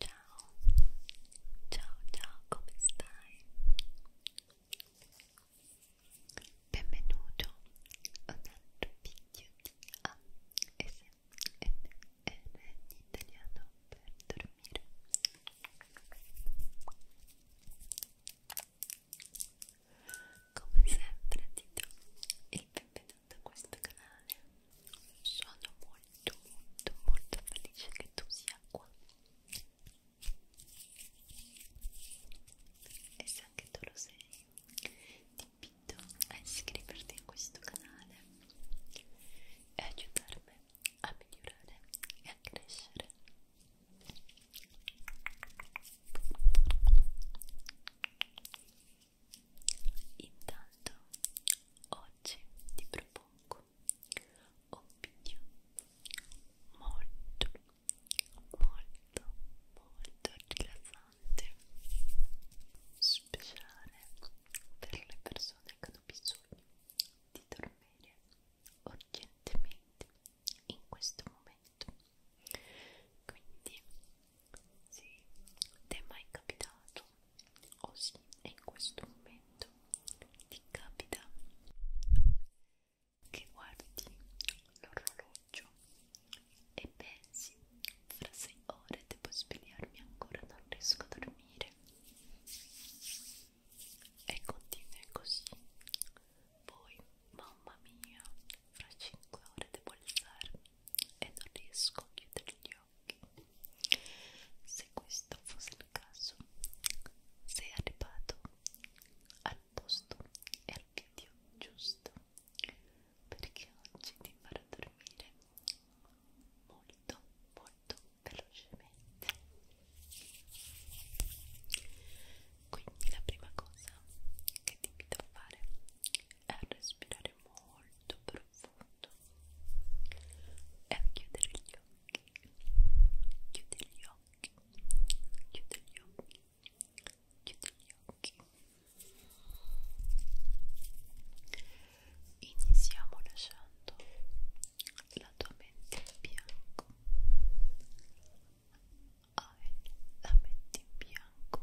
Ciao, ciao, ciao, come stai? Benvenuto ad un altro video di ASMR in italiano per dormire. Come sempre ti do il benvenuto da questo canale sono molto molto molto felice che tu sia qua e se anche tu lo sei ti invito a iscriverti a questo canale e aiutarmi a migliorare e a crescere Intanto oggi ti propongo un video molto molto molto rilassante speciale per le persone che hanno bisogno di dormire urgentemente in questo momento quindi sì, ti è mai capitato? O oh sì, e in questo momento ti capita che guardi l'orologio e pensi fra sei ore devo svegliarmi ancora, non riesco a dormire e continua così poi mamma mia fra 5 ore devo alzarmi e non riesco a chiudere gli occhi. Se questo fosse il caso, sei arrivato al posto e al video giusto perché oggi ti farò dormire molto, molto velocemente. Quindi la prima cosa che ti invito a fare è respirare respirare molto profondo e a chiudere gli occhi chiudere gli occhi chiudere gli occhi chiudere gli occhi iniziamo lasciando la tua mente in bianco hai ah, la mente in bianco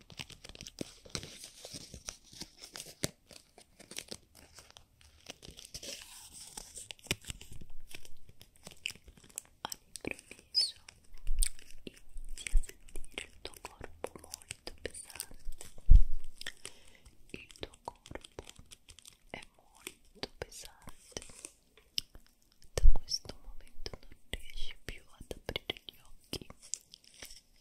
all'improvviso inizi a sentire il tuo corpo molto pesante il tuo corpo è molto pesante da questo momento non riesci più ad aprire gli occhi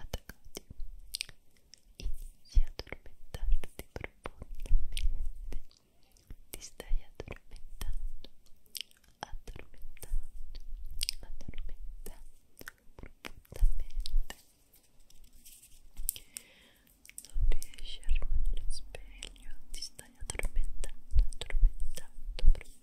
attaccati inizi a addormentarti profondamente ti profondamente non riesci a rimanere sveglio ti stai addormentando addormentando profondamente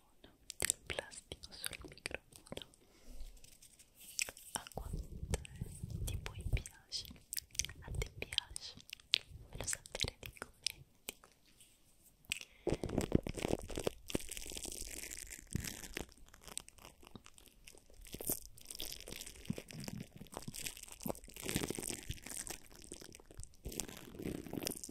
microfono del plastico sul microfono a quanto di voi piace a te piace lo sapere nei commenti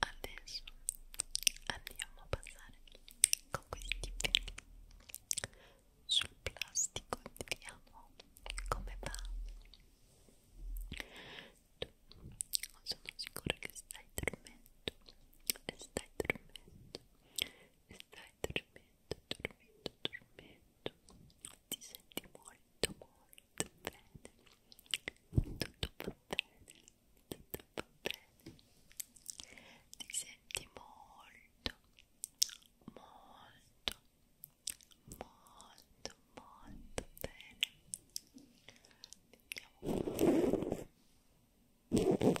Adesso andiamo a passare con questi peli sul plastico, vediamo come va dormendo certo. sono sicura che stai dormendo stai dormendo stai dormendo dormendo dormendo ti senti molto molto bene tutto va bene tutto va bene ti senti molto molto molto molto bene Vediamo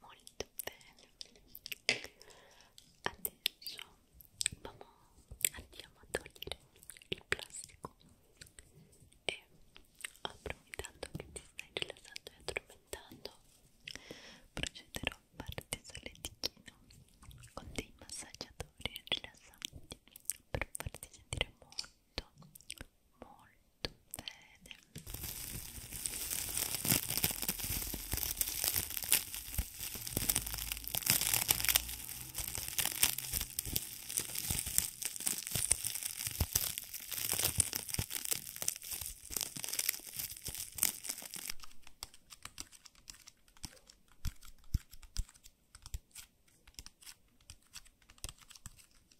molto bene adesso vamo, andiamo a togliere il plastico e approfittando che ti stai rilassando e addormentando procederò a farti solletichino con dei massaggiatori rilassanti per farti sentire molto molto molto bene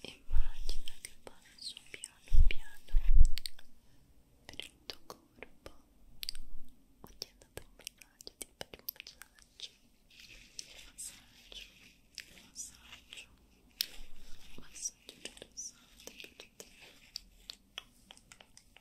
Immagina che passo piano piano per il tuo corpo. Ho ti dato un messaggio, ti faccio un massaggio, massaggio, massaggio, massaggio rilassante per te.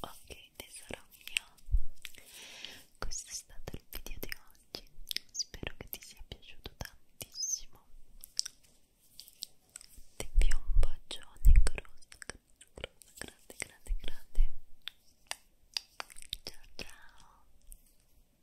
Ok tesoro mio, questo è stato il video di oggi, spero che ti sia piaciuto tantissimo. Ti invio un bacione grosso, grosso, grande, grande, grande. Ciao ciao.